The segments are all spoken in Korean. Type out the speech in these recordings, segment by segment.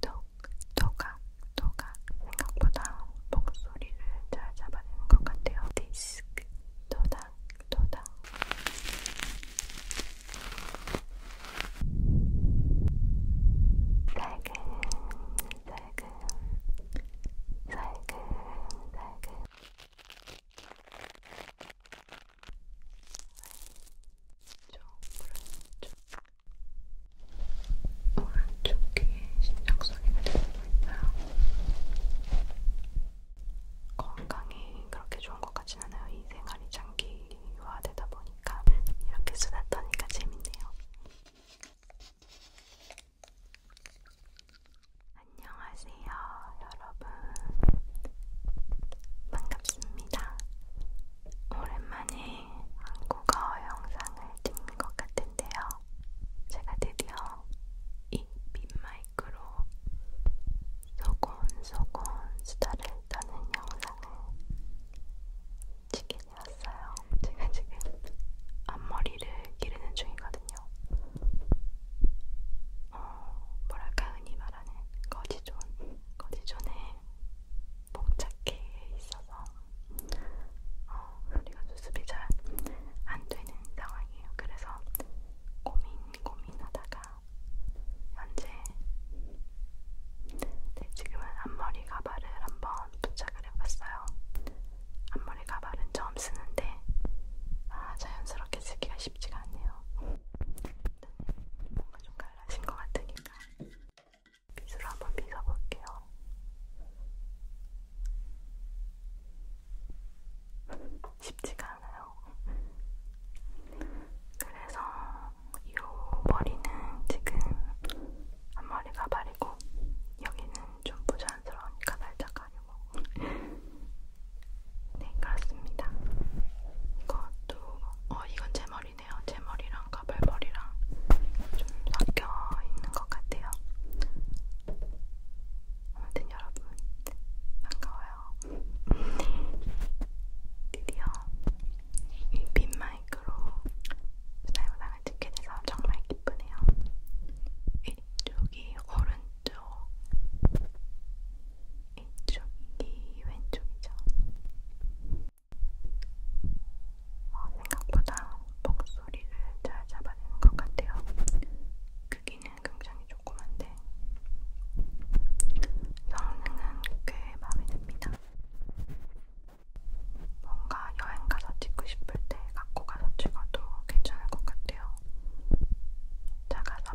틱톡 토각 토각 생각보다 목소리를 잘 잡아내는 것 같아요. 디스크 토닥 토닥 살금 살금 살금 살금 왼쪽, 오른쪽 귀에 신경성이 들리고 있어요. 건강이 그렇게 좋은 것 같진 않아요. 이 생활이 장기화되다 보니까 이렇게 수다 떠니까 재밌네요. 안녕하세요, 여러분. 반갑습니다. 오랜만에 한국어 영상을 찍는 것 같은데요. 제가 드디어 이 빈마이크로 소곤소곤 수다를 떠는 영상을 찍게 되었어요. 제가 지금 앞머리를 기르는 중이거든요. 어, 뭐랄까 흔히 말하는 거지 좋은 거리존에 봉착해 있어서 어, 소리가 수습이 잘 안 되는 상황이에요. 그래서 고민 고민하다가 현재 네, 지금은 앞머리 가발을 한번 부착을 해봤어요. 앞머리 가발은 처음 쓰는데 아, 자연스럽게 쓰기가 쉽지가 않네요. 뭔가 좀 갈라진 것 같으니까 빗으로 한번 빗어볼게요. 쉽지가 않아요. 그래서 이 머리는 지금 앞머리가 바르고 여기는 좀 부자연스러우니까 살짝 가리고 네, 그렇습니다. 이것도, 어, 이건 제 머리네요. 제 머리랑 가발머리랑 좀 섞여 있는 것 같아요. 아무튼 여러분, 반가워요. 드디어 이 빈마이크로 스타일보상을 찍게 돼서 정말 기쁘네요. 이쪽이 오른쪽 이쪽이 왼쪽이죠. 어, 생각보다 목소리를 잘 잡아내는 것 같아요. 크기는 굉장히 조그만데 성능은 꽤 마음에 듭니다. 뭔가 여행 가서 찍고 싶을 때 갖고 가서 찍어도 괜찮을 것 같아요. 작아서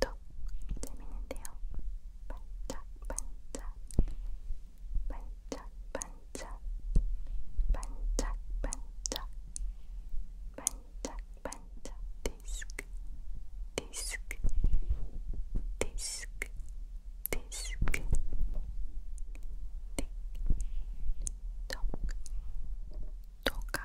또 재밌는데요. 반짝반짝 반짝반짝 반짝반짝 반짝반짝 디스크 디스크 디스크 디스크 틱톡 토카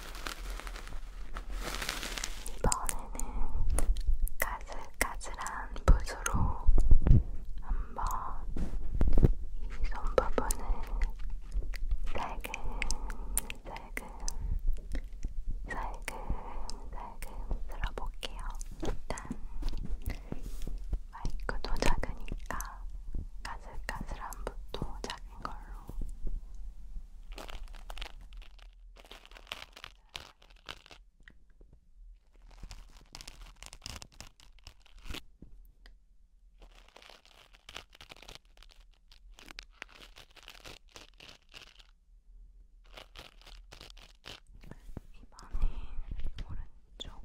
이번에는 가슬가슬한 붓으로 한번 이 손 부분을 살금살금 살금살금 쓸어볼게요. 일단 마이크도 작으니까 가슬가슬한 붓도 작은 걸로 입안에 오른쪽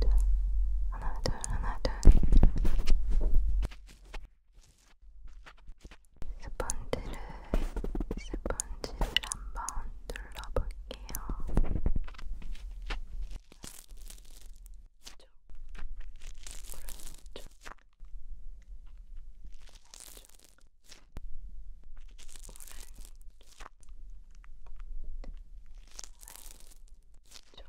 둘 하나 둘 하나 둘 스펀지를 스펀지를 한번 눌러볼게요. 왼쪽, 오른쪽, 왼쪽, 오른쪽, 오른쪽,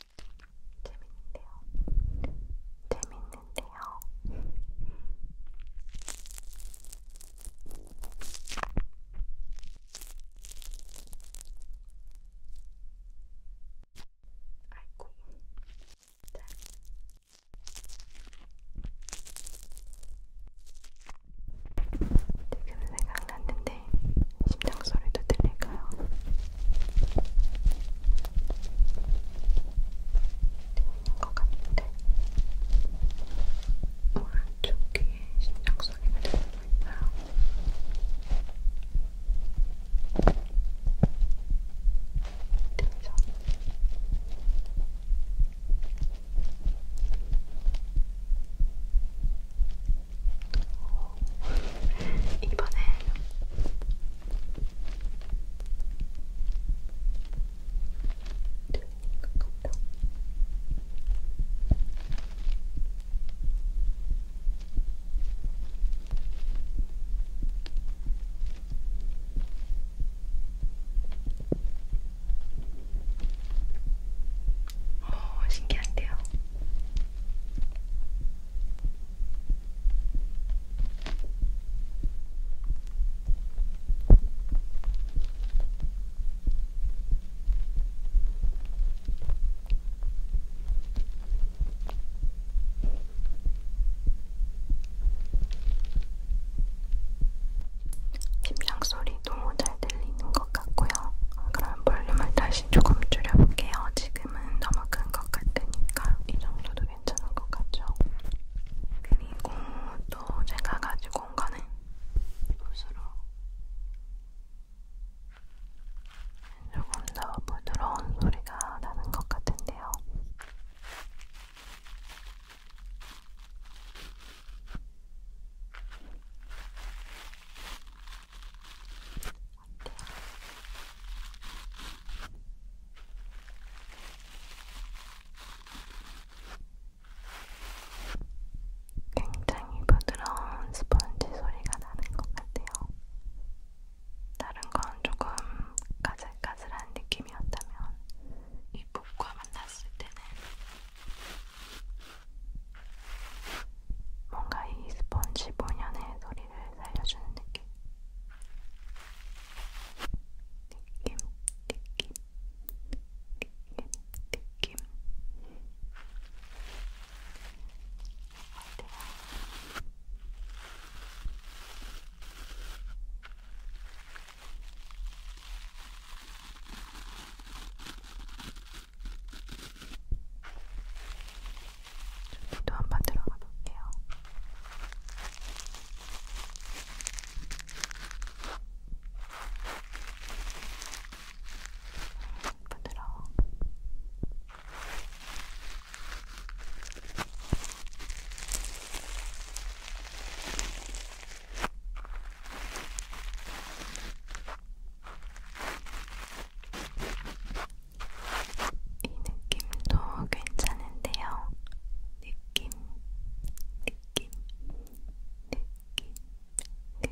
재밌는데요. 재밌는데요. 아이고. 자. 지금 생각났는데 심장 소리도 들릴까요? 될것 같은데 오른쪽 귀에 심장 소리가 들리고 있어요. 그래서 이번에 오, 어, 신기한데요. 심장 소리도 잘 들리는 것것 같고요. 그럼 볼륨을 다시 조금 줄여볼게요. 지금은 너무 큰 것 같으니까 이 정도도 괜찮은 것 같죠? 그리고 또 제가 가지고 온 거는 붓으로 조금 더 부드러운 소리가 나는 것 같은데요. 굉장히 부드러운 스펀지 소리가 나는 것 같아요. 다른 건 조금 까슬까슬한 느낌이었다면 이 붓과 만났을 때는 뭔가 이 스펀지 본연의 소리를 살려주는 느낌. 느낌, 느낌, 느낌, 느낌. 어때요? 아, 네. 저기도 한번 들어가 볼게요. 부드러워. 이 느낌도 괜찮은데요. 느낌, 느낌, 느낌, 느낌.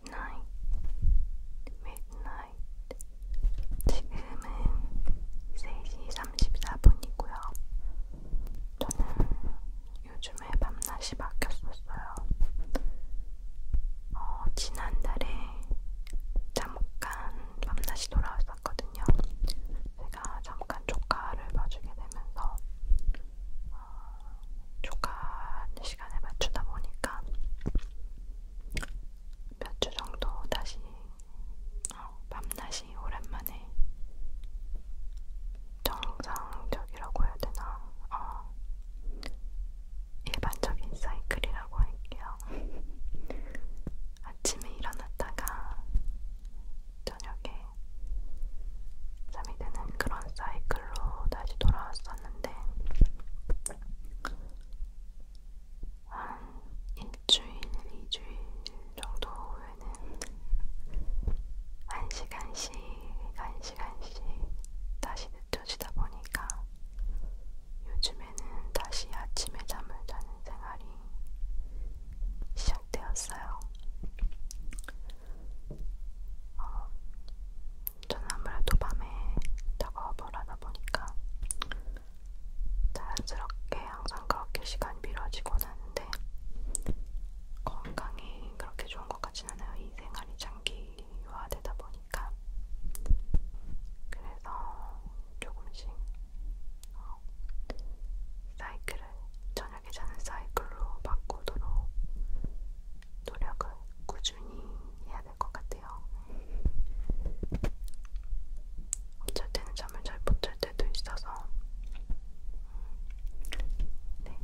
midnight, midnight. 지금은 3시 34분이고요. 저는 요즘에 밤낮이 바뀌었었어요. 어, 지난달에 잠깐 밤낮이 돌아왔었거든요. 제가 잠깐 조카를 봐주게 되면서 어, 조간 시간에 맞추다 보니까 몇 주 정도 다시 어, 밤낮이 오랜만에 정상적이라고 해야 되나 어, 일반적인 사이클이라고 할게요. 아침에 일어났다가 저녁에 잠이 드는 그런 사이클 댓글로 다시 돌아왔었는데 한 일주일, 이주일 정도 후에는 한 시간씩, 한 시간씩 다시 늦춰지다 보니까 요즘에는 다시 아침에 잠을 자는 생활이 시작되었어요. 어, 저는 아무래도 밤에 작업을 하다 보니까 자연스럽게 항상 그렇게 시간이 미뤄지곤 하는데 건강이 그렇게 좋은 것 같진 않아요. 이 생활이 장기화되다 보니까 그래서 조금씩 어, 사이클을 저녁에 자는 사이클로 바꾸도록 노력을 꾸준히 해야 될 것 같아요. 어쩔 때는 잠을 잘 못 잘 때도 있어서 음, 네,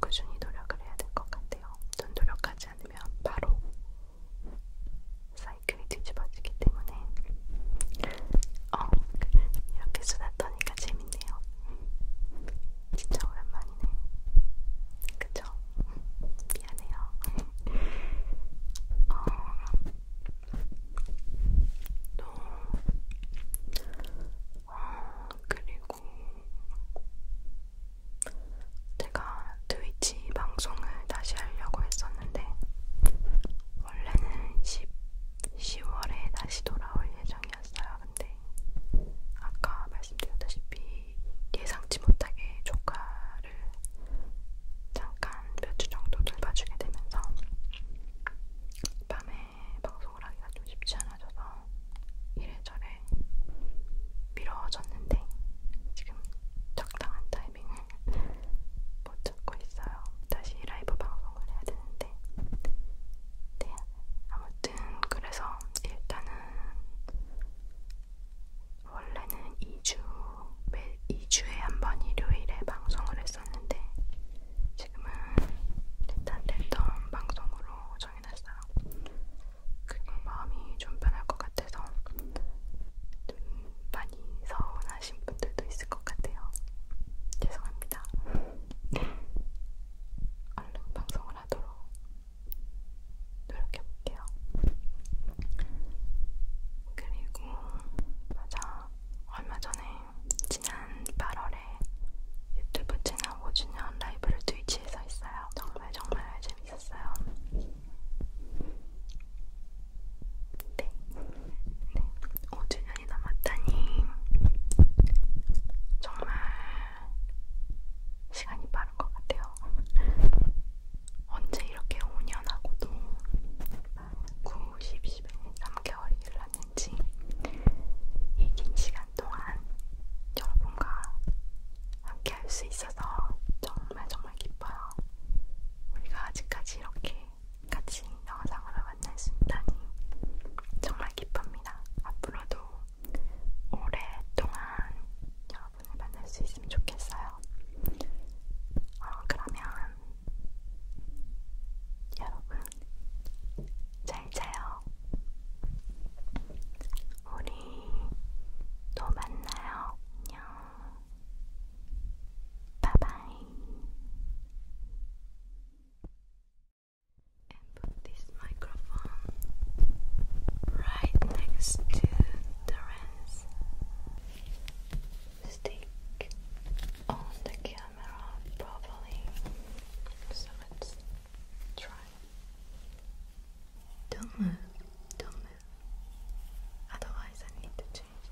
꾸준히 노력을 해야 될 것 같아요. 전 노력하지 않으면 바로 사이클이 뒤집어지기 때문에 어, 이렇게 수다 떠니까 재밌네요. 진짜 오랜만이네. 그쵸? 미안해요. 어, 또, 어, 그리고 제가 트위치 방송을 다시 하려고 했었는데 원래는 10, 10월에 다시 돌아올 예정이었는데 예정이었어요. 근데 아까 말씀드렸다시피 예상치 못하게 조카를 잠깐 몇 주 정도 돌봐주게 되면서 밤에 방송을 하기가 좀 쉽지 않아져서 이래저래 미뤄졌는데 지금 적당한 타이밍을 못 찾고 있어요. 다시 라이브 방송을 해야 되는데 네, 아무튼 그래서 일단은 원래는 2주 매 2주에 한 번 일요일에 방송을 했었는데 지금은 일단 랜덤 방송으로 정해놨어요. 그게 마음이 좀 편할 것 같아서 좀 많이 서운하신 분들도 있을 것 같아요. 죄송합니다. 얼른 방송을 하도록 노력해볼게요. 그리고 맞아 얼마 전에 지난 8월에 유튜브 채널 5주년 라이브를 트위치에서 했어요. 정말 정말 재밌었어요. 네, 네. 5주년이 남았다니 정말 시간이 빠른 것 같아요. 언제 이렇게 5년하고도 9, 10, 11, 3개월이 일났는지 이 긴 시간 동안 여러분과 함께 할 수 있어서 정말 정말 기뻐요. 우리가 아직까지 이렇게 같이 영상으로 만날 수 있다니 정말 기쁩니다. 바랍니다. 앞으로도 오랫동안 여러분을 만날 수 있으면 좋겠어요. 어, 그러면 여러분 잘 자요. 우리 또 만나요. 안녕. 바이바이. put this microphone right next to Torrance stick on the camera properly so let's try don't move don't move otherwise I need to change